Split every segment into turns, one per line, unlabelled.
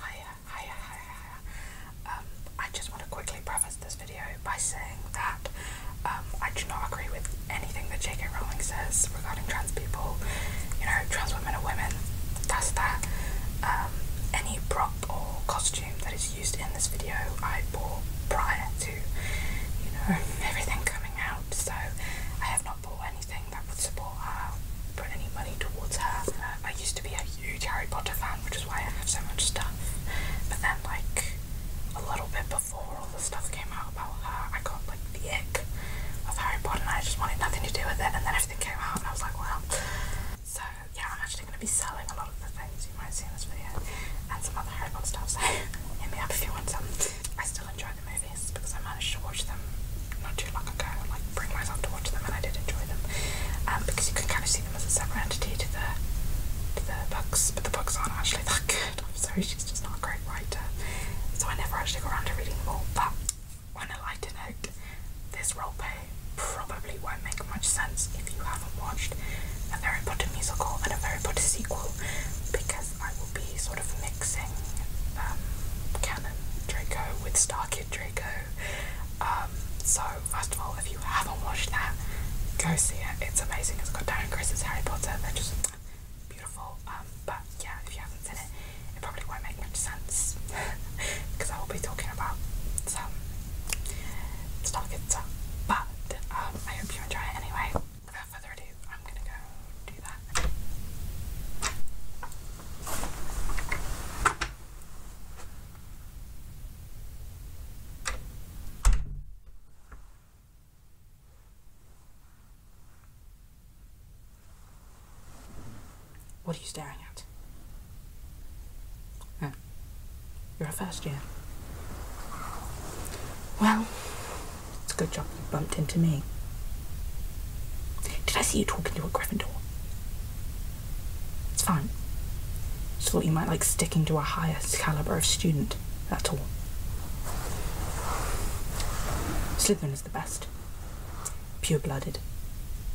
Hiya, hiya, hiya, hiya. Um, I just want to quickly preface this video by saying that um, I do not agree with anything that J.K. Rowling says regarding trans people. You know, trans women are women. That's that. Um, any prop or costume that is used in this video I bought prior to, you know, everything coming out. So I have not bought any anything that would support her, put any money towards her. I used to be a huge Harry Potter fan, which is why I have so much stuff. But then, like, a little bit before all the stuff came out about her, I got, like, the ick of Harry Potter and I just wanted nothing to do with it. And then everything came out and I was like, well. So, yeah, I'm actually going to be selling a lot of the things you might see in this video and some other Harry Potter stuff, so hit me up if you want some. I still enjoy the movies because I managed to watch them not too long ago and like bring myself to watch them and I did enjoy them. Um, because you can kind of see them as a separate entity to the to the books, but the books aren't actually that good. I'm sorry, she's just not a great writer. So I never actually got around to reading them all. But on a lighter note, this roleplay probably won't make much sense if you haven't watched a Harry Potter musical and a Harry Potter sequel because I will be sort of mixing um, canon Draco with Starkey. Draco. Um, so, first of all, if you haven't watched that, go see it. It's amazing. It's got Darren Chris's Harry Potter. They're just beautiful. Um, but yeah, if you haven't seen it, it probably won't make much sense because I will be talking about some stuff good stuff. But um, I hope you enjoy it anyway. Without further ado, I'm gonna go do that. What are you staring at? Oh, you're a first year. Well, it's a good job bumped into me. Did I see you talking to a Gryffindor? It's fine. Just thought you might like sticking to a higher caliber of student, that's all. Slytherin is the best. Pure blooded,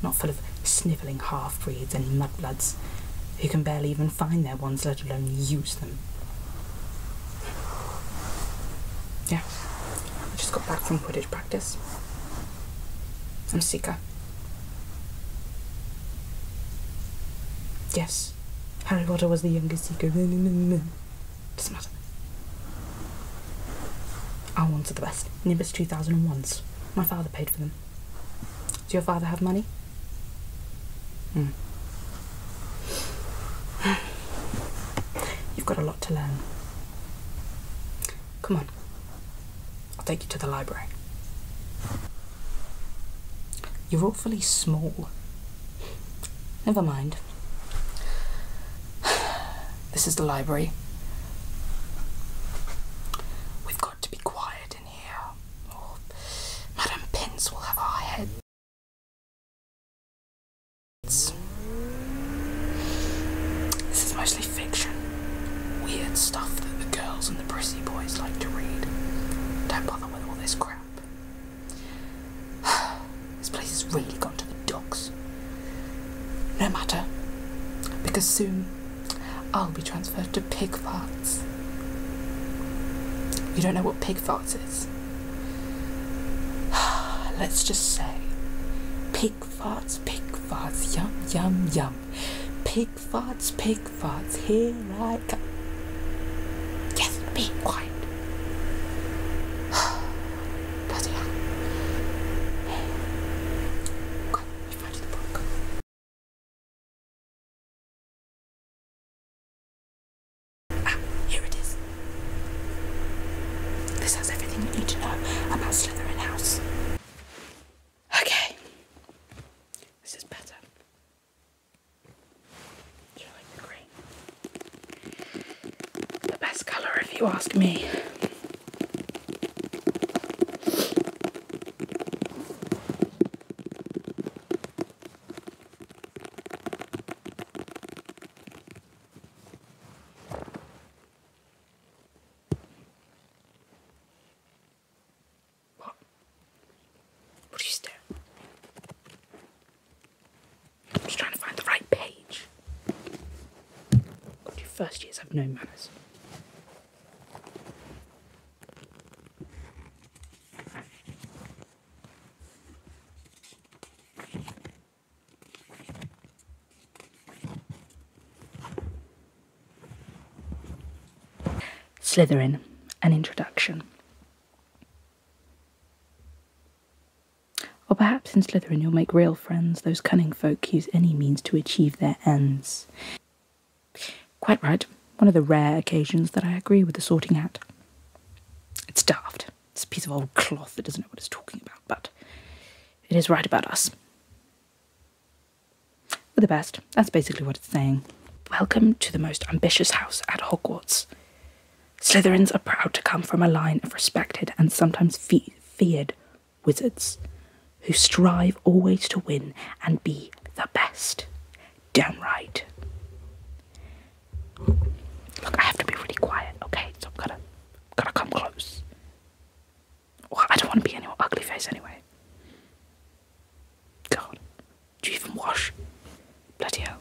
not full of snivelling half breeds and mudbloods who can barely even find their ones, let alone use them. Yeah, I just got back from Quidditch practice. I'm seeker. Yes, Harry Potter was the youngest Sika. Doesn't matter. Our ones are the best. Nimbus 2001s. My father paid for them. Does your father have money? Hmm. You've got a lot to learn. Come on, I'll take you to the library. You're awfully small. Never mind. This is the library. We've got to be quiet in here, or Madame Pince will have our heads. This is mostly fiction. Weird stuff that the girls and the prissy boys like to read. Don't bother with all this crap. this place has really gone to the dogs. No matter, because soon I'll be transferred to Pigfarts. You don't know what Pigfarts is? Let's just say pig farts, pig farts, yum, yum, yum. Pig farts, pig farts, here I come. Yes, be quiet. Bloody hell. Hey. Quiet, the book. Ah, here it is. This has everything you need to know about Slytherin House. Okay. This is better. you like green? The best colour, if you ask me. What? What are you staring? I'm just trying to find the right page. God, first years have no manners. Slytherin, an introduction. Or perhaps in Slytherin you'll make real friends, those cunning folk use any means to achieve their ends. Quite right, one of the rare occasions that I agree with the sorting hat. It's daft. It's a piece of old cloth that doesn't know what it's talking about, but it is right about us. We're the best. That's basically what it's saying. Welcome to the most ambitious house at Hogwarts. Slytherins are proud to come from a line of respected and sometimes feared wizards who strive always to win and be the best. Downright. Look, I have to be really quiet, okay? So I'm gonna, gonna come close. Well, I don't want to be any your ugly face anyway. God, do you even wash? Bloody hell.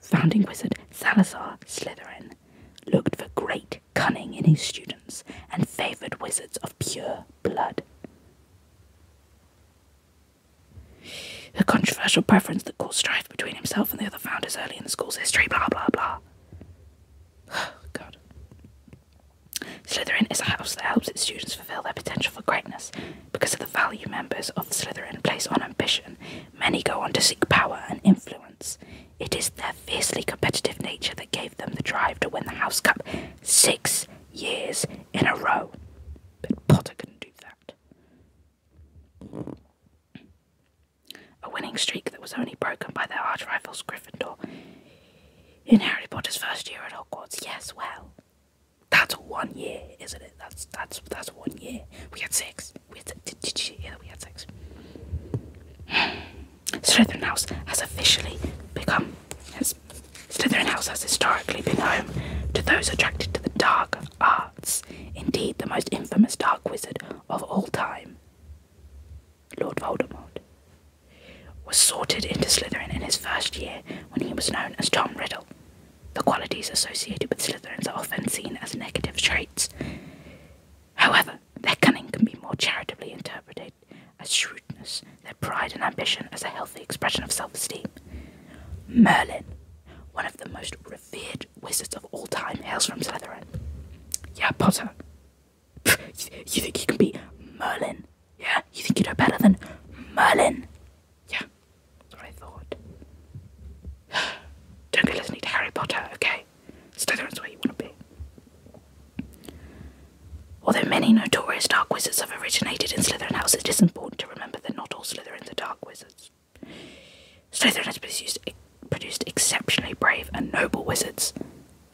Founding wizard Salazar Slytherin looked for great cunning in his students and favoured wizards of pure blood. A controversial preference that caused strife between himself and the other founders early in the school's history, blah blah blah. Oh, God. Slytherin is a house that helps its students fulfill their potential for greatness. Because of the value members of Slytherin place on ambition, many go on to seek power and influence. It is their fiercely competitive nature that gave them the drive to win the House Cup six years in a row. But Potter couldn't do that. A winning streak that was only broken by their arch rivals Gryffindor in Harry Potter's first year at Hogwarts. Yes, well, that's one year, isn't it? That's that's that's one year. We had six. We had, did, did We had six. Slytherin House has officially become. Has, Slytherin House has historically been home to those attracted to the dark arts, indeed, the most infamous dark wizard of all time. Lord Voldemort was sorted into Slytherin in his first year when he was known as Tom Riddle. The qualities associated with Slytherins are often seen as negative traits. However, their cunning can be more charitably interpreted as shrewd their pride and ambition as a healthy expression of self esteem. Merlin, one of the most revered wizards of all time, hails from Slytherin. Yeah, Potter. you, think you can beat Merlin? Yeah, you think you know better than Merlin? Yeah, that's what I thought. Don't be listening to Harry Potter, okay? Slytherin's where you want to be. Although many notorious dark wizards have originated in Slytherin House, it is important to remember that not all Slytherins are dark wizards. Slytherin has produced, exceptionally brave and noble wizards.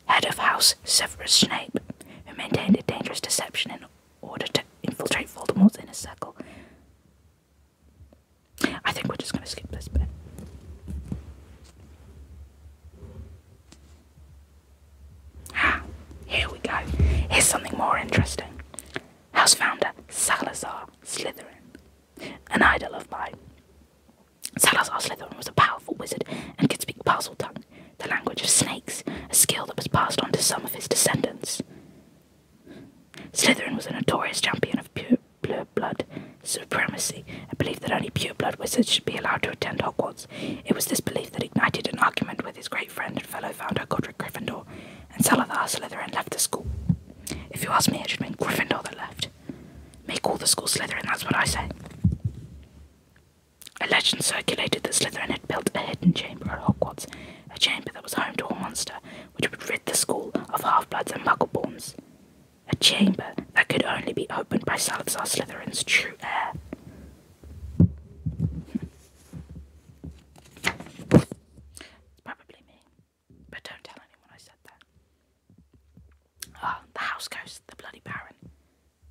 Head of House Severus Snape, who maintained a dangerous deception in order to infiltrate Voldemort's inner circle. I think we're just going to skip this bit. Ah, here we go. Here's something more interesting. House founder Salazar Slytherin, an idol of mine. Salazar Slytherin was a powerful wizard and could speak Parseltongue, the language of snakes, a skill that was passed on to some of his descendants. Slytherin was a notorious champion of pure, pure blood supremacy, a belief that only pure blood wizards should be allowed to attend Hogwarts. It was this belief that ignited an argument with his great friend and fellow founder Godric Gryffindor, and Salazar Slytherin left the school. If you ask me, it should have been Gryffindor that left. Make all the school Slytherin, that's what I say. A legend circulated that Slytherin had built a hidden chamber at Hogwarts, a chamber that was home to a monster which would rid the school of half bloods and muggleborns a chamber that could only be opened by Salazar Slytherin's true heir. probably me, but don't tell anyone I said that. Ah, the house ghost, the bloody baron.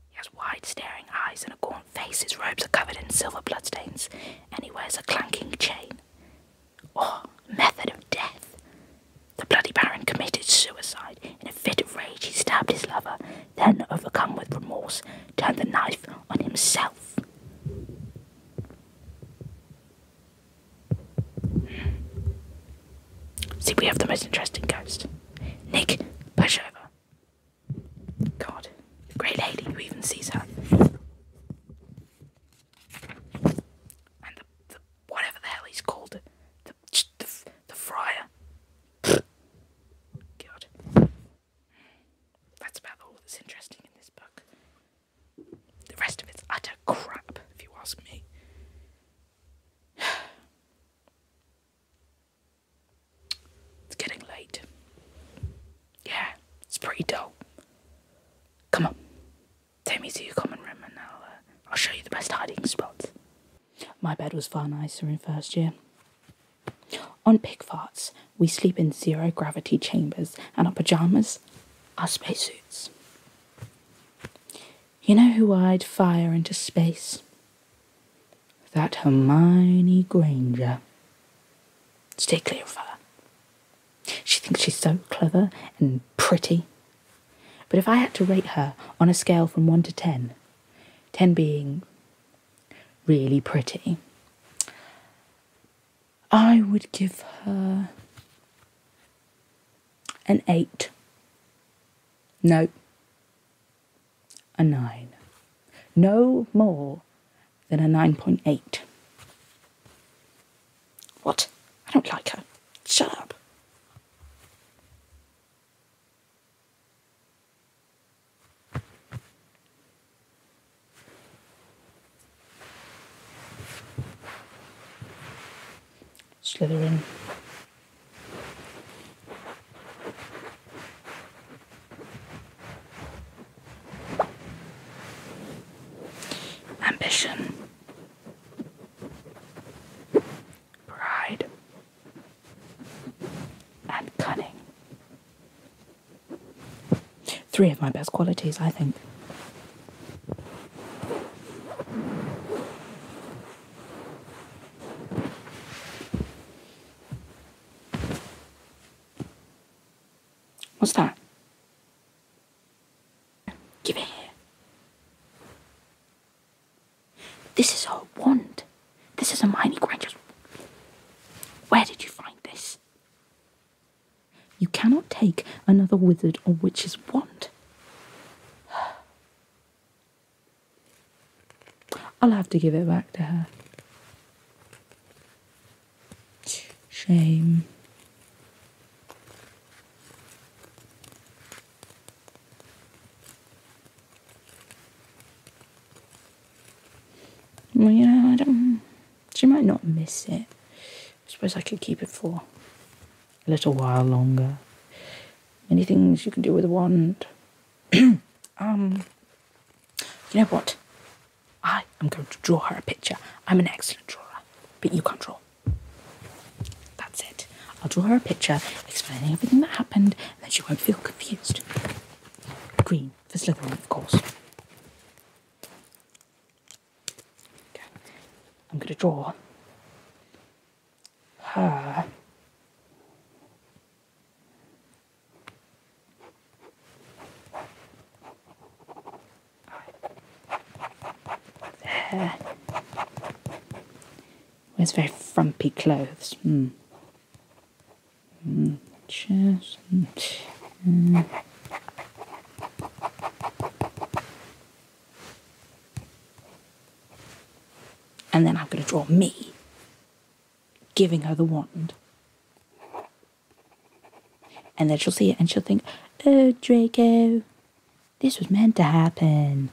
He has wide staring eyes and a gaunt face, his robes are covered in silver bloodstains, and he wears a clanking chain. oh, method of death. The bloody Baron committed suicide. In a fit of rage, he stabbed his lover, then, overcome with remorse, turned the knife on himself. See, we have the most interesting ghost. Nick, push over. God, great lady, who even sees her? And the whatever the hell he's called, the, friar. God. That's about all that's interesting in this book. The rest of it's utter crap, if you ask me. It's getting late. Yeah, it's pretty dull. Come on, Take me to your common room and uh, I'll, show you the best hiding spot. My bed was far nicer in first year. On pickfarts, we sleep in zero gravity chambers, and our pyjamas are space suits. You know who eyed fire into space? That Hermione Granger. Stay clear of her. She thinks she's so clever and pretty but if I had to rate her on a scale from 1 to 10, 10 being really pretty, I would give her an 8. No, a 9. No more than a 9.8. What? I don't like her. Shut up. Slither Ambition pride, and cunning. Three of my best qualities, I think. What's that? Give it here. This is her wand. This is a mining Granger's. Where did you find this? You cannot take another wizard or witch's wand. I'll have to give it back to her. Shame. Well, yeah, I don't. She might not miss it. I suppose I could keep it for a little while longer. Many things you can do with a wand. um, you know what? I am going to draw her a picture. I'm an excellent drawer, but you can't draw. That's it. I'll draw her a picture explaining everything that happened, and then she won't feel confused. Green for Slytherin, of course. I'm going to draw her. There. Wears very frumpy clothes. Mm. Mm. Just, mm. And then I'm going to draw me giving her the wand. And then she'll see it and she'll think, oh, Draco, this was meant to happen.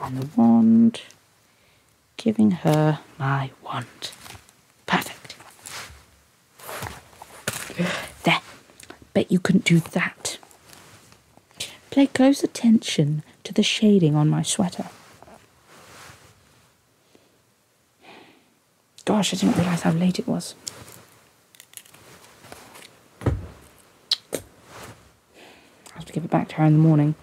And the wand, giving her my wand. Perfect. There. Bet you couldn't do that. Pay close attention to the shading on my sweater. Gosh, I didn't realise how late it was. I have to give it back to her in the morning.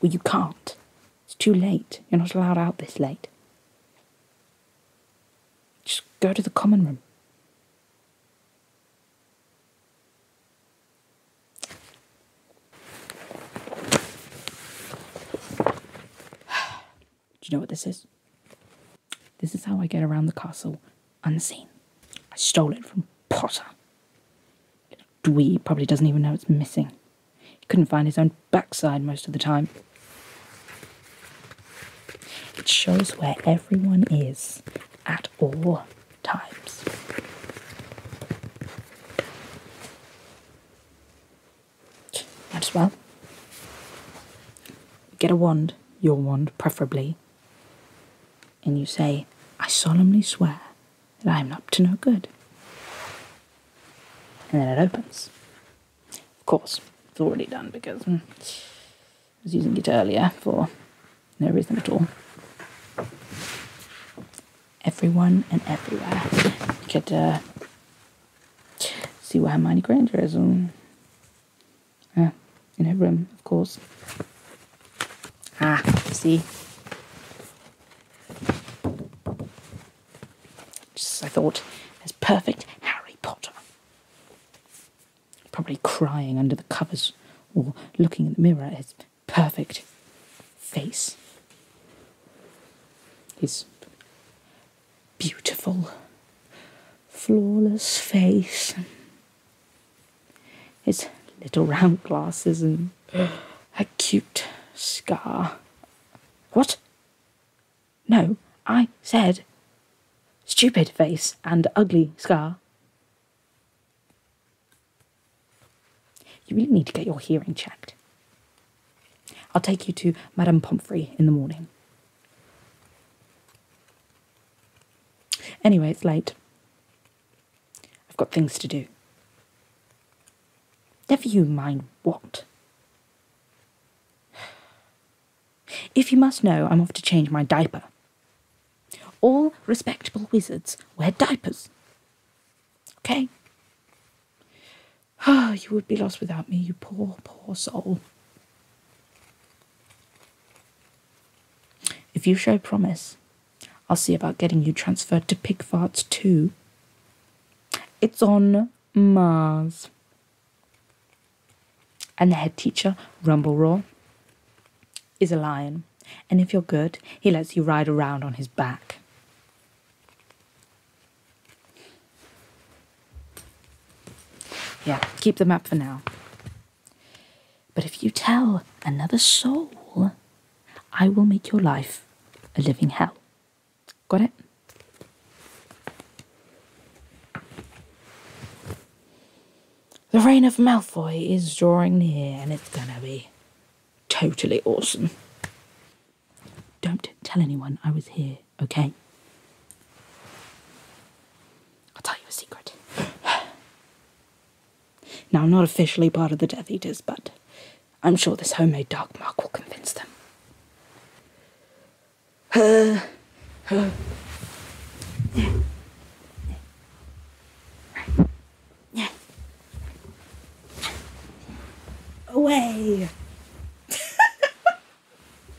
Well, you can't. It's too late. You're not allowed out this late. Just go to the common room. Do you know what this is? This is how I get around the castle unseen. I stole it from Potter. Little dweeb probably doesn't even know it's missing. He couldn't find his own backside most of the time. It shows where everyone is at all times. Might as well. Get a wand, your wand preferably, and you say, I solemnly swear that I am up to no good. And then it opens. Of course, it's already done because hmm, I was using it earlier for no reason at all. Everyone and everywhere. You could uh, see where Hermione Granger is on hmm. Uh, in her room, of course. Ah, see? Just I thought, there's perfect Harry Potter. Probably crying under the covers or looking in the mirror at his perfect face. His beautiful, flawless face. His little round glasses and a cute scar. What? No, I said stupid face and ugly scar. You really need to get your hearing checked. I'll take you to Madame Pomfrey in the morning. Anyway, it's late. I've got things to do. Never you mind what. If you must know, I'm off to change my diaper. All respectable wizards wear diapers. Okay? Ah, you would be lost without me, you poor, poor soul. If you show promise, I'll see about getting you transferred to Pigfarts 2. It's on Mars. And the head teacher, Rumble Roar, is a lion. And if you're good, he lets you ride around on his back. Yeah, keep them up for now. But if you tell another soul, I will make your life a living hell. Got it? The reign of Malfoy is drawing near and it's gonna be totally awesome. Don't tell anyone I was here okay? I'll tell you a secret. now, I'm not officially part of the Death Eaters, but I'm sure this homemade dark mark will convince them. Uh, uh. Yeah. Yeah. Away!